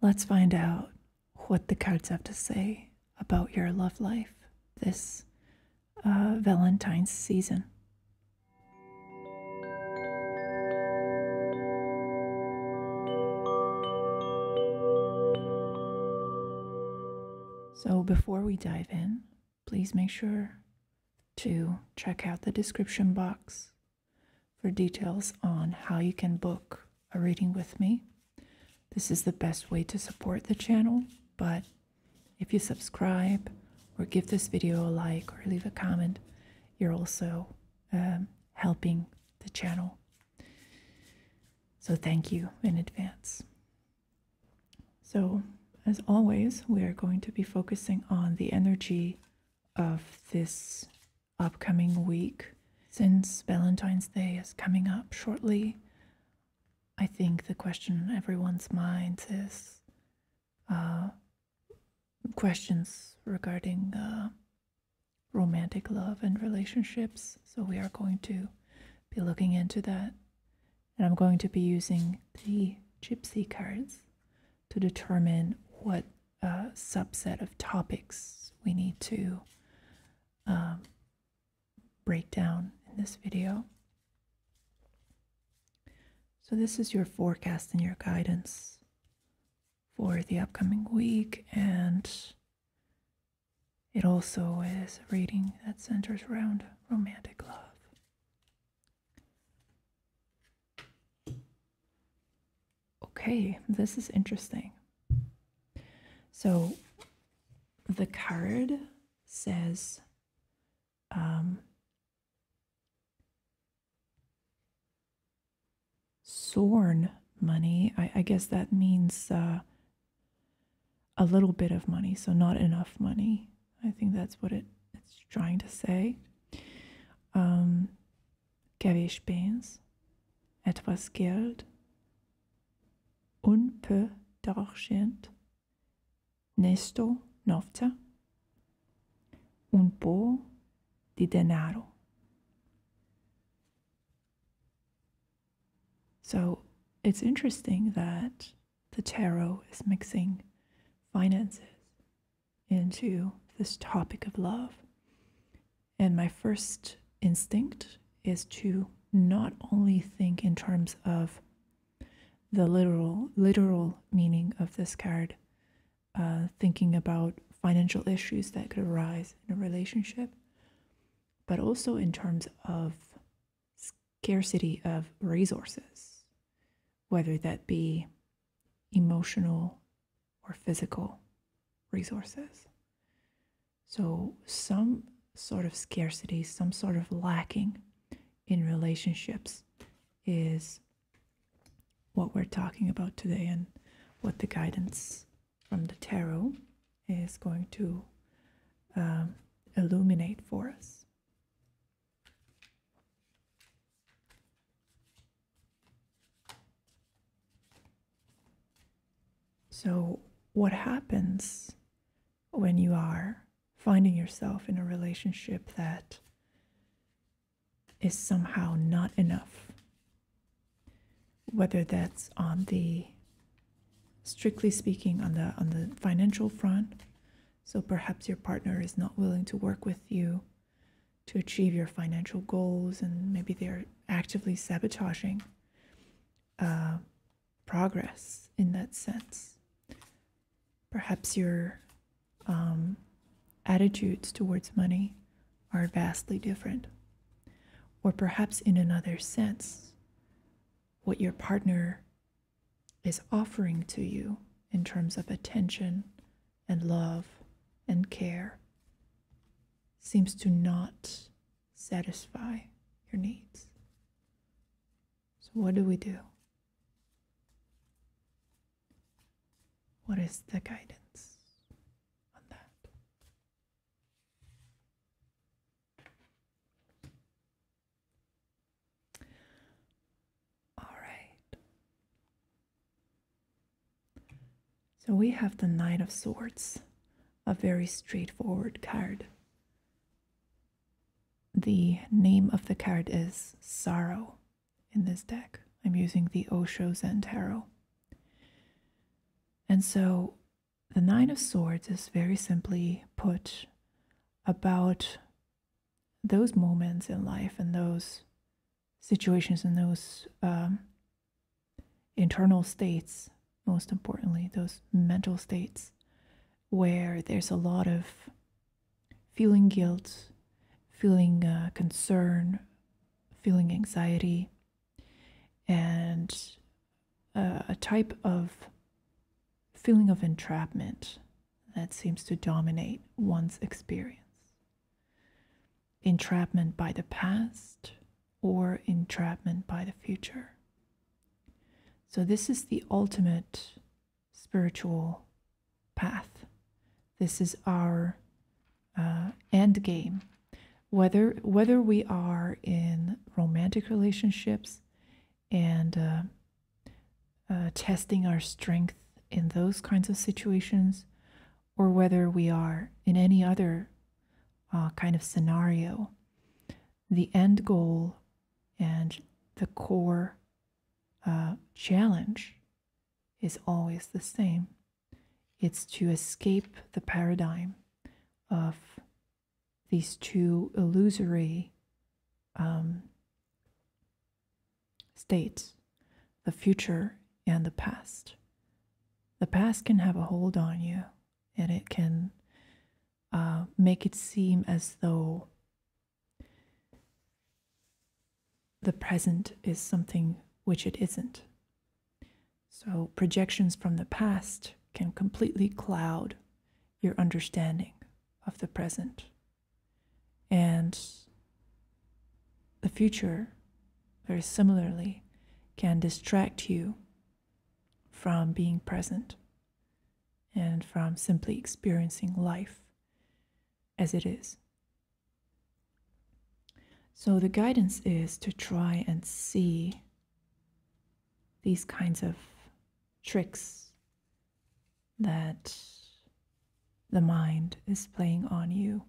Let's find out what the cards have to say about your love life this uh, Valentine's season. So, before we dive in, please make sure to check out the description box for details on how you can book a reading with me. This is the best way to support the channel, but if you subscribe or give this video a like or leave a comment, you're also um, helping the channel. So thank you in advance. So as always, we are going to be focusing on the energy of this upcoming week. Since Valentine's Day is coming up shortly, I think the question in everyone's minds is uh, questions regarding uh, romantic love and relationships. So we are going to be looking into that. And I'm going to be using the gypsy cards to determine what a subset of topics we need to um, break down in this video. So, this is your forecast and your guidance for the upcoming week, and it also is a reading that centers around romantic love. Okay, this is interesting. So the card says, um, Sorn money. I, I, guess that means uh, a little bit of money, so not enough money. I think that's what it, it's trying to say. Um, kevés pénz, etwas Geld, un peu d'argent, nesto novca, un po di denaro. So it's interesting that the tarot is mixing finances into this topic of love. And my first instinct is to not only think in terms of the literal literal meaning of this card, uh, thinking about financial issues that could arise in a relationship, but also in terms of scarcity of resources, whether that be emotional or physical resources. So, some sort of scarcity, some sort of lacking in relationships is what we're talking about today and what the guidance from the tarot is going to um, illuminate for us. So, what happens when you are finding yourself in a relationship that is somehow not enough? Whether that's on the strictly speaking on the on the financial front, so perhaps your partner is not willing to work with you to achieve your financial goals, and maybe they're actively sabotaging uh, progress in that sense. Perhaps your um, attitudes towards money are vastly different. Or perhaps, in another sense, what your partner is offering to you in terms of attention and love and care seems to not satisfy your needs. So, what do we do? What is the guidance on that? All right. So we have the Knight of Swords, a very straightforward card. The name of the card is Sorrow in this deck. I'm using the Osho Zentaro. And so the Nine of Swords is very simply put about those moments in life and those situations and those um, internal states, most importantly, those mental states where there's a lot of feeling guilt, feeling uh, concern, feeling anxiety, and uh, a type of feeling of entrapment that seems to dominate one's experience entrapment by the past or entrapment by the future. So, this is the ultimate spiritual path. This is our uh, end game. Whether, whether we are in romantic relationships and uh, uh, testing our strength in those kinds of situations, or whether we are in any other uh, kind of scenario, the end goal and the core uh, challenge is always the same. It's to escape the paradigm of these two illusory um, states the future and the past. The past can have a hold on you and it can uh, make it seem as though the present is something which it isn't. So, projections from the past can completely cloud your understanding of the present. And the future, very similarly, can distract you from being present and from simply experiencing life as it is. So, the guidance is to try and see these kinds of tricks that the mind is playing on you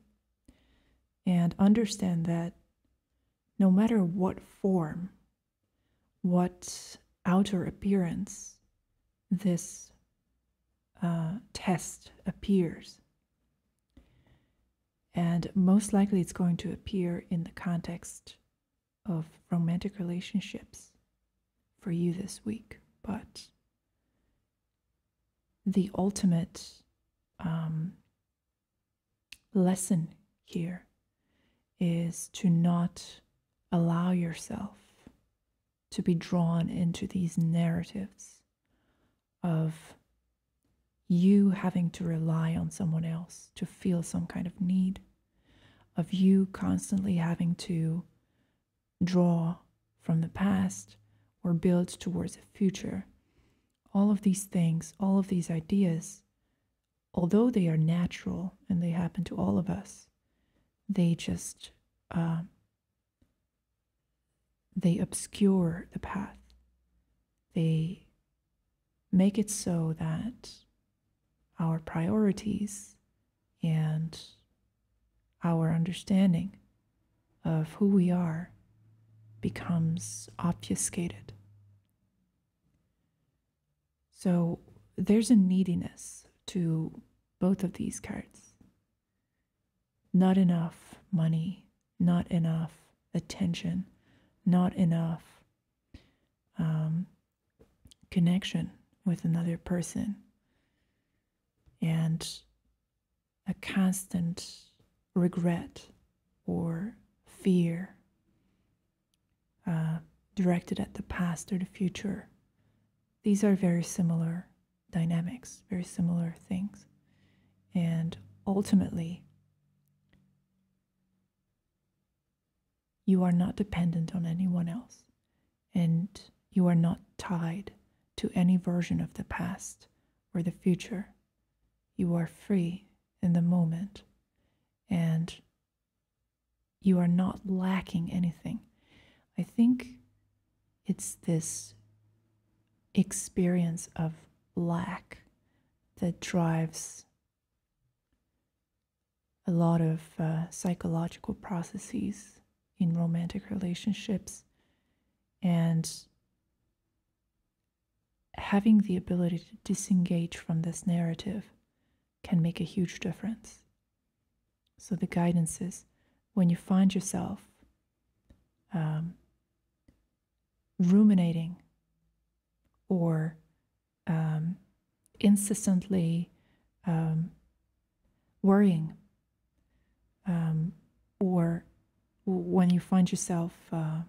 and understand that no matter what form, what outer appearance this uh, test appears, and most likely it's going to appear in the context of romantic relationships for you this week, but the ultimate um, lesson here is to not allow yourself to be drawn into these narratives of you having to rely on someone else to feel some kind of need, of you constantly having to draw from the past or build towards the future. All of these things, all of these ideas, although they are natural and they happen to all of us, they just uh, they obscure the path. They make it so that our priorities and our understanding of who we are becomes obfuscated. So there's a neediness to both of these cards. Not enough money, not enough attention, not enough um, connection with another person. And a constant regret or fear uh, directed at the past or the future. These are very similar dynamics, very similar things. And ultimately, you are not dependent on anyone else. And you are not tied to any version of the past or the future. You are free in the moment and you are not lacking anything. I think it's this experience of lack that drives a lot of uh, psychological processes in romantic relationships and having the ability to disengage from this narrative can make a huge difference. So the guidance is when you find yourself um, ruminating or um, insistently um, worrying, um, or when you find yourself uh,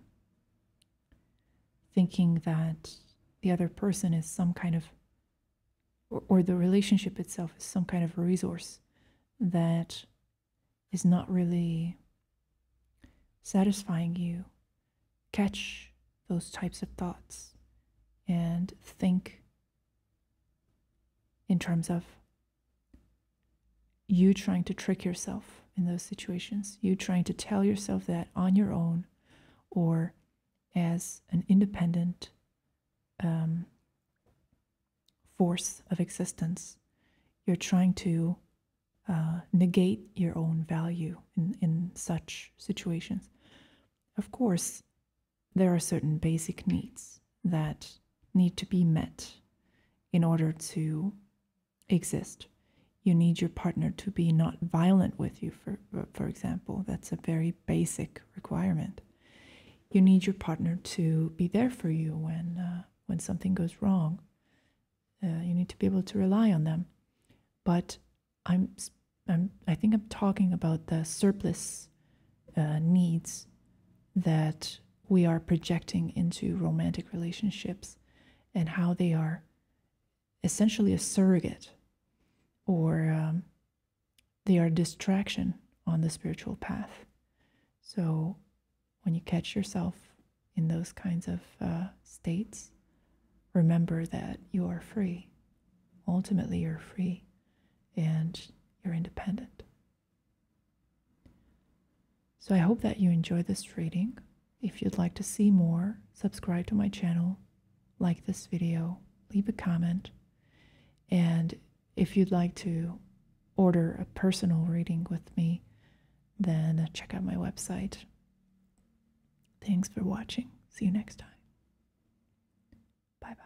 thinking that the other person is some kind of, or, or the relationship itself is some kind of a resource that is not really satisfying you, catch those types of thoughts and think in terms of you trying to trick yourself in those situations, you trying to tell yourself that on your own or as an independent um, force of existence, you're trying to uh, negate your own value in such situations. Of course, there are certain basic needs that need to be met in order to exist. You need your partner to be not violent with you, for, for example. That's a very basic requirement. You need your partner to be there for you when, uh, when something goes wrong. Uh, you need to be able to rely on them. But I'm, I'm, I think I'm talking about the surplus uh, needs that we are projecting into romantic relationships and how they are essentially a surrogate or um, they are distraction on the spiritual path. So when you catch yourself in those kinds of uh, states, remember that you are free. Ultimately, you're free and you're independent. So I hope that you enjoy this reading. If you'd like to see more, subscribe to my channel, like this video, leave a comment, and if you'd like to order a personal reading with me, then check out my website. Thanks for watching. See you next time. Bye bye.